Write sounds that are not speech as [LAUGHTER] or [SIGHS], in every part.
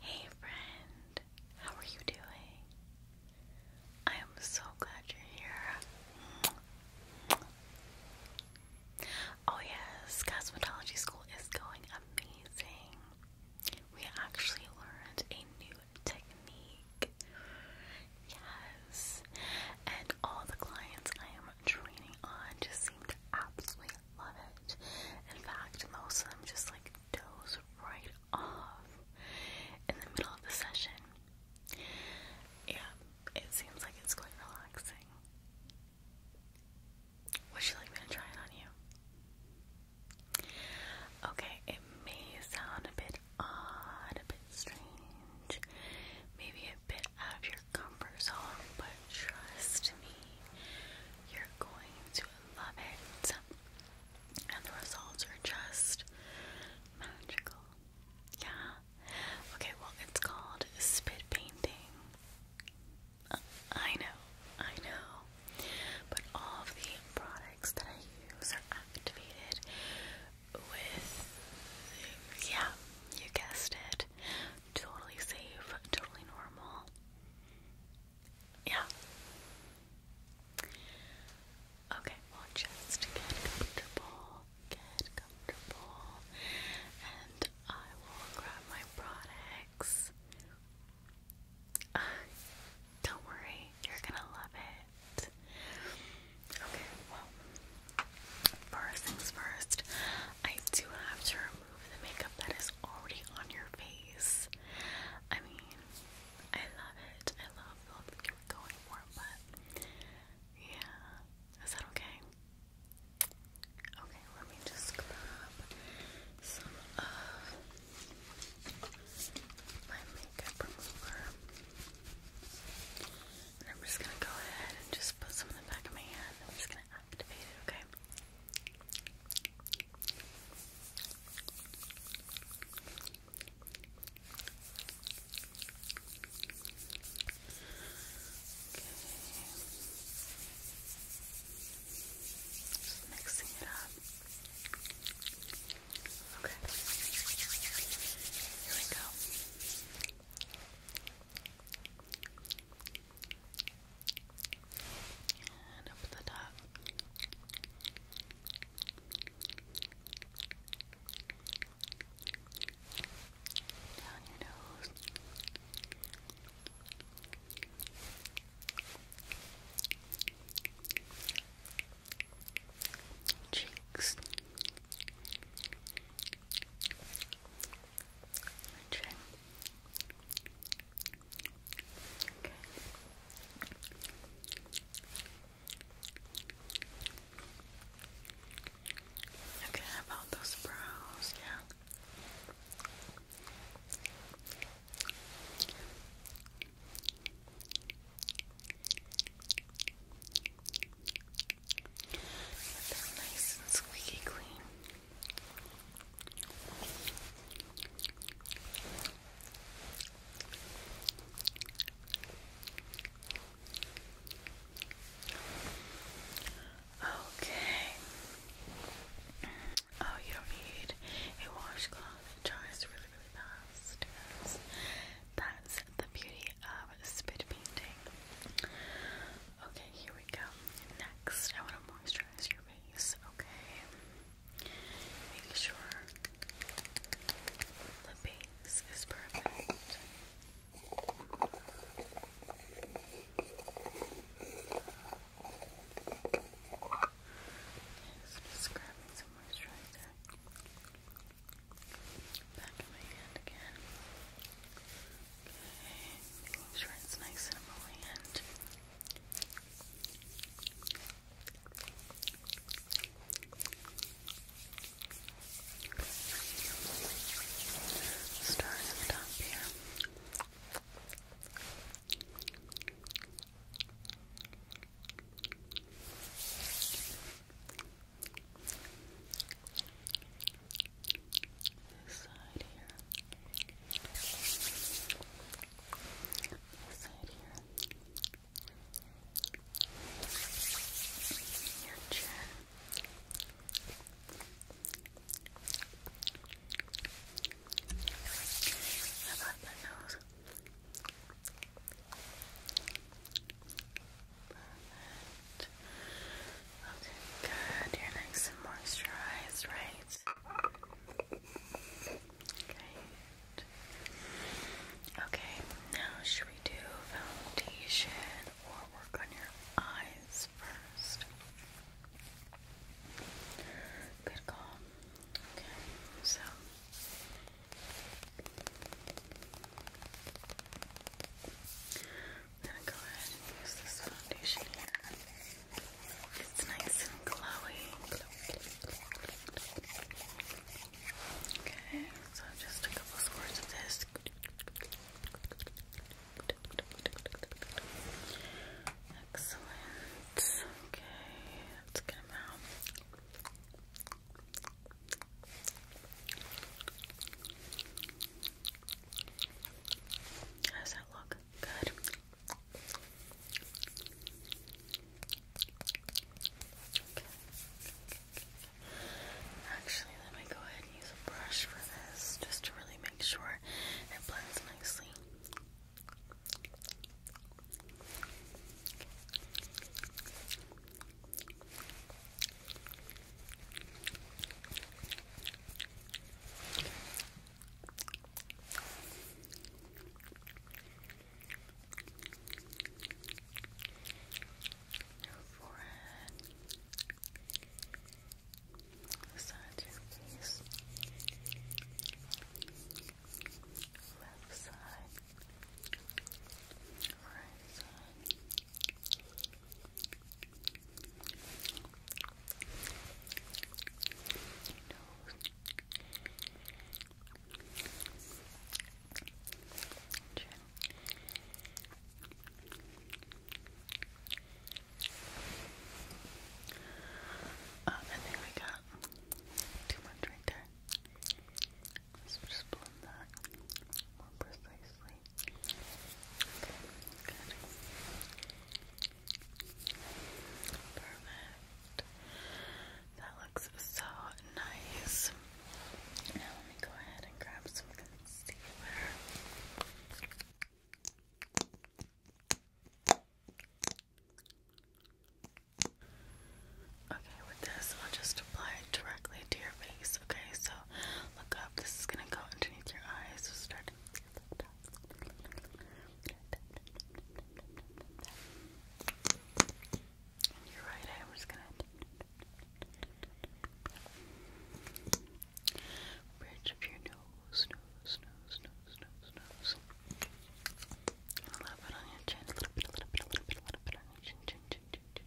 Hey friend, how are you doing? I am so glad you're here. Oh yes, cosmetology school is going amazing. We actually learned a new technique. Yes. And all the clients I am training on just seem to absolutely love it. In fact, most of them just like doze right off in the middle of the session. Yeah, it seems like it's quite relaxing. Would you like me to try it on you? Okay, it may sound a bit odd, a bit strange, maybe a bit of your comfort zone, but trust me, you're going to love it. And the results are just magical. Yeah. Okay, well, it's called spit painting. Uh, I know, I know. But all of the products that I use are activated with, yeah, you guessed it. Totally safe, totally normal. Yeah. Okay, well, just get comfortable, get comfortable, and I will grab my products. [SIGHS] don't worry, you're gonna love it. Okay, well, first things first, I do have to remove the makeup that is already on your face. I mean, I love it. I love the that you were going for, but yeah. Is that okay? Okay, let me just grab some of my makeup remover. I'm just gonna go ahead and just put some in the back of my hand. I'm just gonna activate it, okay? Just mixing it up. Okay. Here we go. Okay. And up the top. Down your nose. Cheeks. Try. Okay. about those brows? Yeah. Get them nice and squeaky clean. Okay. Oh, you don't need a washcloth. dries really, really fast. That's the beauty of spit painting. Okay, here we go. Next, I want to moisturize your face, okay? Make sure the base is perfect. just grabbing some moisturizer. Back in my hand again. Making sure it's nice and emollient. Starting at the top here. This side here. This side here. Your chin. How nose? Okay, good. Your nice and moisturized, right? Great. Okay, now should we do foundation or work on your eyes first? Good call. Okay, so. I'm go ahead and use this foundation here. It's nice and glowy. Okay, so just a couple squirts of this. Excellent. Okay, let's get out does that look? Good. Okay. Actually, let me go ahead and use a brush for this just to really make sure it blends nicely. Your forehead, the your face, left side, right side, uh, oh, I think we got too much right there. let just blend that more precisely. Perfect. That looks so nice. Now let me go ahead and grab some concealer. Okay, with this, I'll just apply it directly to your face. Okay, so look this is gonna go underneath your eyes. So starting right I'm gonna bridge of your nose, nose, nose, nose, on your chin, a little bit, a little bit, a little bit, a little bit on your chin, chin, chin, chin, chin.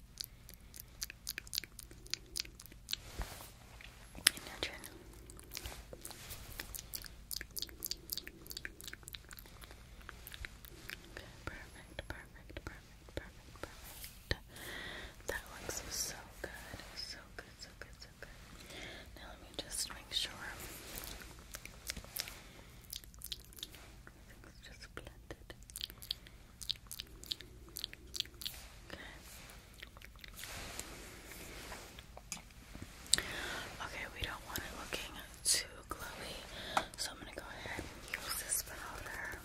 And now Okay, perfect, perfect, perfect, perfect, perfect. That looks so good. So good, so good, so good. Now let me just make sure. Okay. Okay, we don't want it looking too glowy, so I'm gonna go ahead and use this powder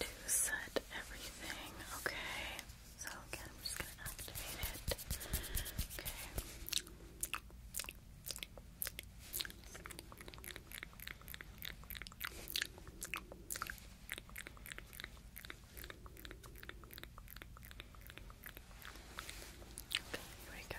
to set everything. Okay. So again, I'm just gonna activate it. Okay. Okay, here we go. Okay.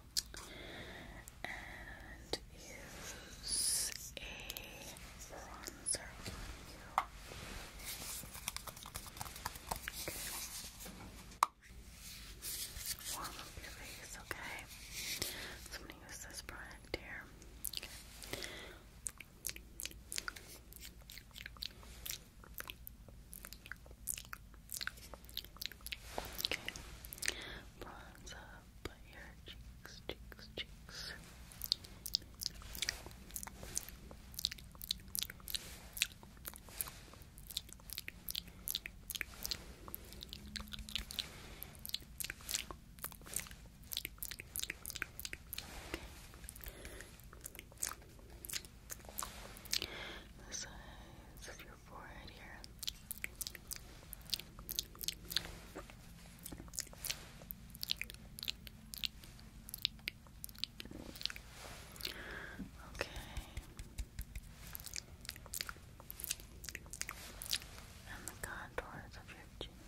and use a bronzer you. Warm up your face, okay? So I'm gonna use this product here. Okay. Okay, up your cheeks, cheeks, cheeks. The sides of your forehead here. Okay. And the contours of your chin,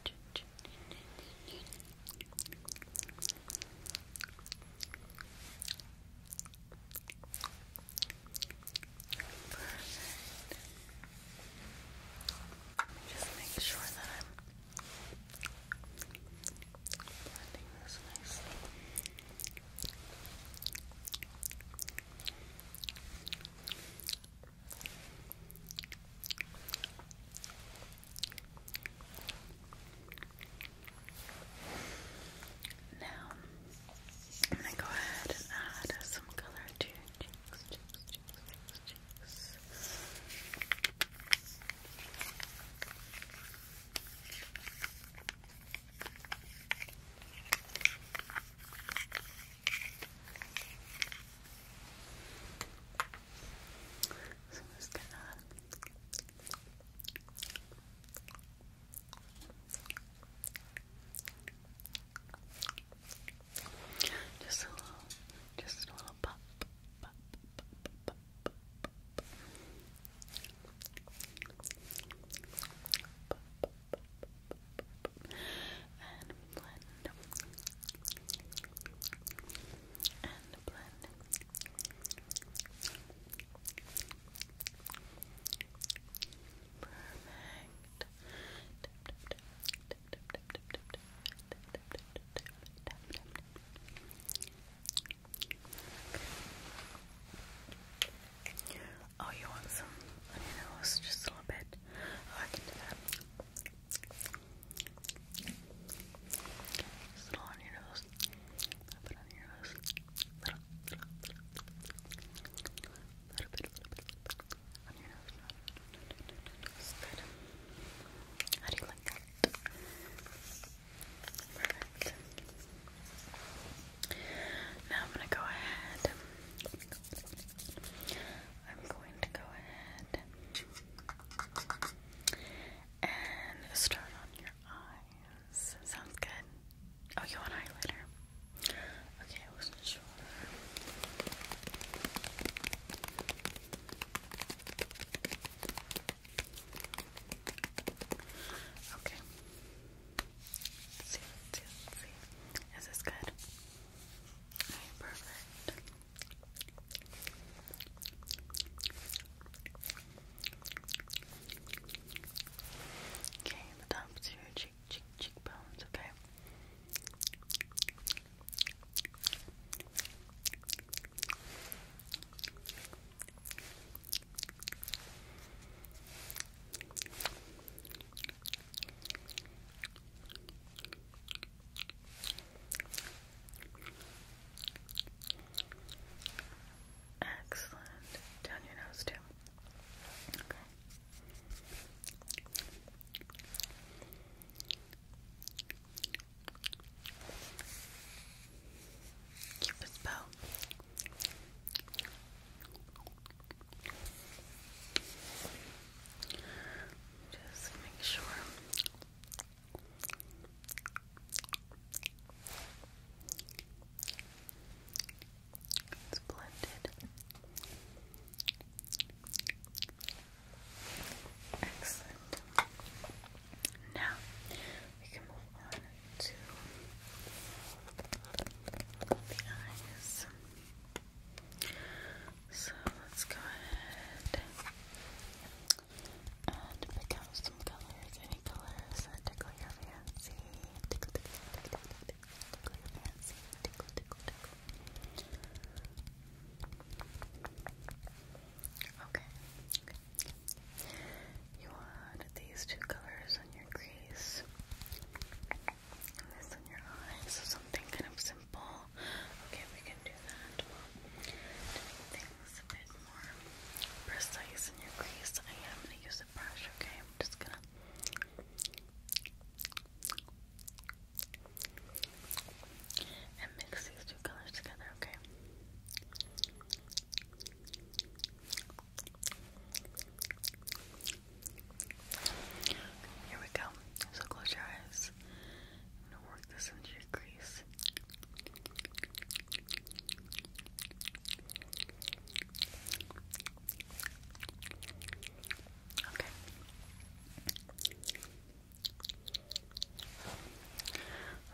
Perfect. Just make sure that I'm blending this nicely. Now, I'm going to go ahead and add some color to cheeks. So I'm just gonna just a little, just a little pop, pop, pop, pop, pop, pop, pop. And blend and blend and blend Perfect. Oh, you want some on your nose? Just a little bit. Oh, I can do a little on your nose. Put on your nose little, little, bit, little little bit How do you like that? Perfect. Now I'm gonna go ahead. I'm going to go ahead and start on your eyes. Sounds good. Oh, you want eyeliner? Okay, I wasn't sure. Okay. see, see, see. Is this good? perfect. Okay, the tops of your cheek, cheek, cheekbones, Okay. Excellent. Down your nose too. Okay. Cupid's bow. Just make sure. It's blended. Excellent. Now we can move on to the eyes. So let's go ahead and pick out some colors any colors that tickle your fancy. Okay. You want these two colors on your crease. And this on your eye. So something kind of simple. Okay, we can do that more precise in your crease, I am going to use a brush, okay? I'm just gonna. And mix these two colors together, okay? Here we go. So close your eyes. I'm gonna work this into your crease. Okay.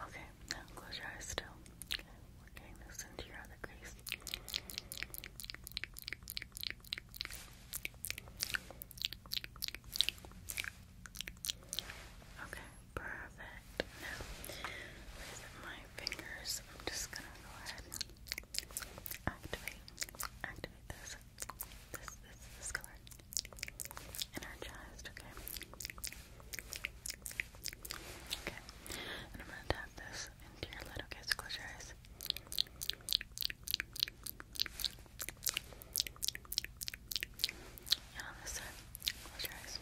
Okay, now close your eyes still. Okay, we're getting this into your other crease. Okay. Perfect. Now, with my fingers, I'm just gonna go ahead and activate, activate this, this, this, this color in okay? Okay, and I'm gonna tap this into your little kids. close your eyes. And this side, close your eyes.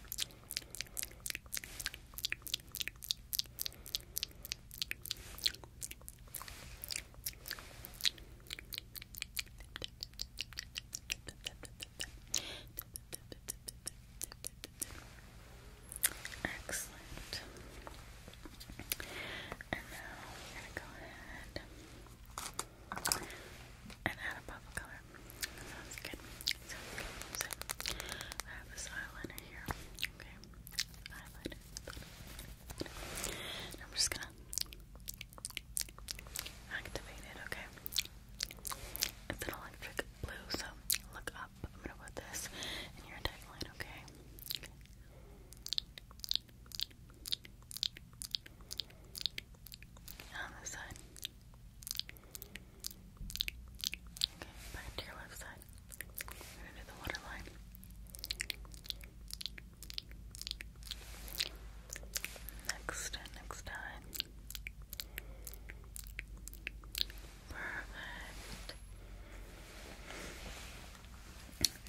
Excellent. And now we're going to go ahead and add a bubblegum Sounds good. So, I have this eyeliner here. Okay. Eyeliner. I'm just gonna activate it, okay? It's an electric blue, so look up. I'm gonna put this in your tagline, okay? okay. on this side. Okay, back to your left side. We're gonna do the waterline. Next, next time. Perfect.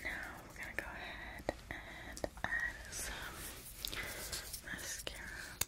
Now we're gonna go ahead and add some mascara.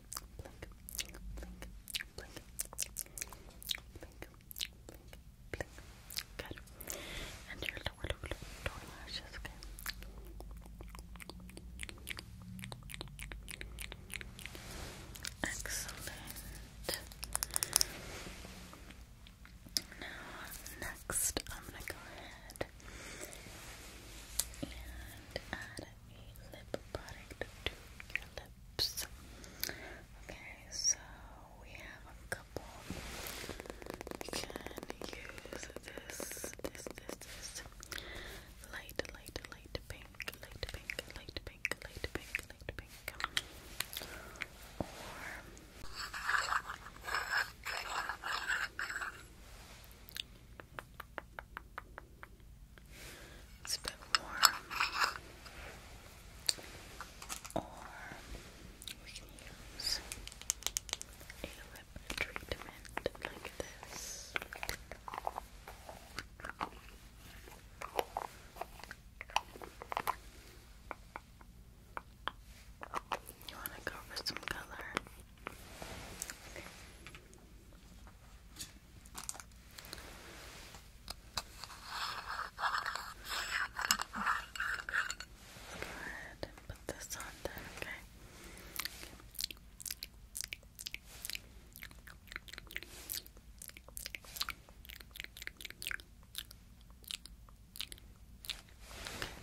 blink, blink, Good. And your lower, lower, lashes, Excellent. Now, next, I'm gonna go ahead and add a lip product to your lips. Okay, so we have a couple. You can use this, this, this, this. Light, light, light pink, light pink, light pink, light pink, light pink. Or it's a bit warm. Or we can use a lip treatment like this. You want to go for some color? Go ahead and put this on then, okay? okay.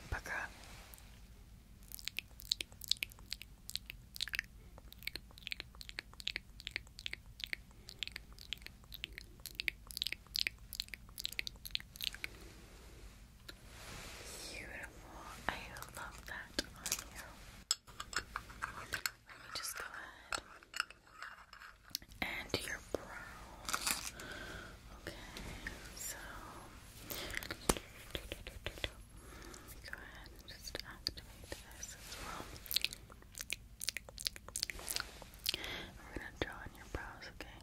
Pucker up. Beautiful. I love that on you. Let me just go ahead and your brow. Okay, so Go ahead and just activate this as well. We're gonna draw on your brows, Okay.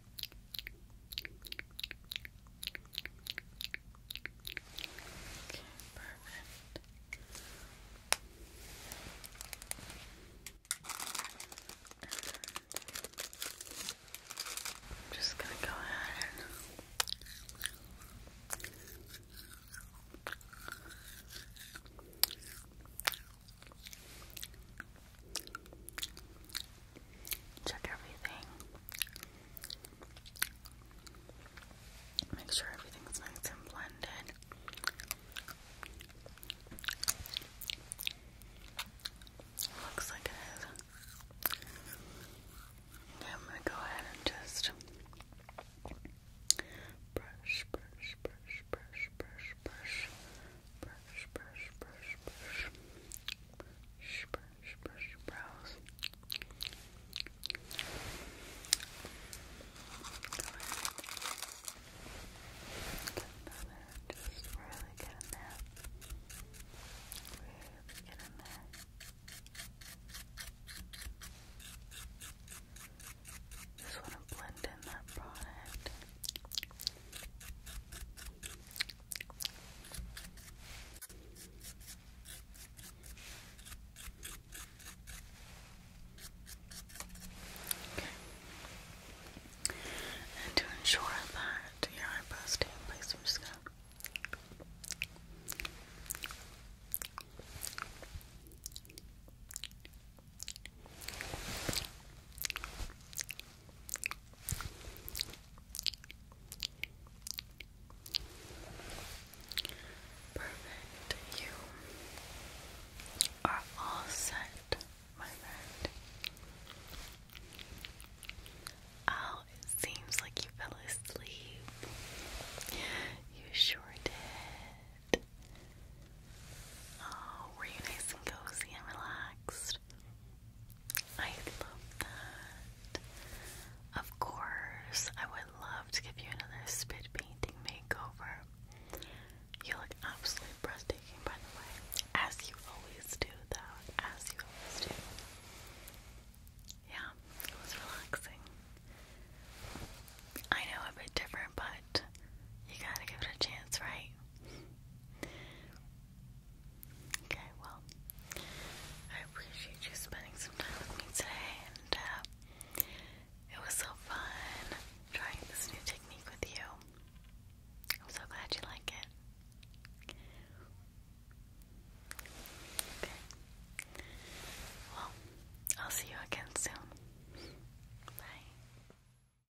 Okay, perfect. I'm just gonna go ahead and Check everything. Make sure everything's nice and blended. Looks like it is. Okay, I'm gonna go ahead and just brush, brush, brush, brush, brush, brush brush, brush, brush, brush, brush, brush, brush your brows. Go ahead. Get another, just really get in there. Really get in there. Just want to blend in that product. Okay. And to ensure that your eyebrows stay in place, I'm just gonna Perfect. You are all set, my friend. Oh, it seems like you fell asleep. You sure did. Oh, were you nice and cozy and relaxed? I love that. Of course, I would love to give you another spit painting makeover. You look absolutely breathtaking, by the way, as you always do, though, as you always do. Yeah, it was relaxing. I know a bit different, but you gotta give it a chance, right? Okay, well, I appreciate you spending some time with me today, and uh, it was so fun trying this new technique with you. I'm so glad you like it. Okay. Well, I'll see you again soon. Bye.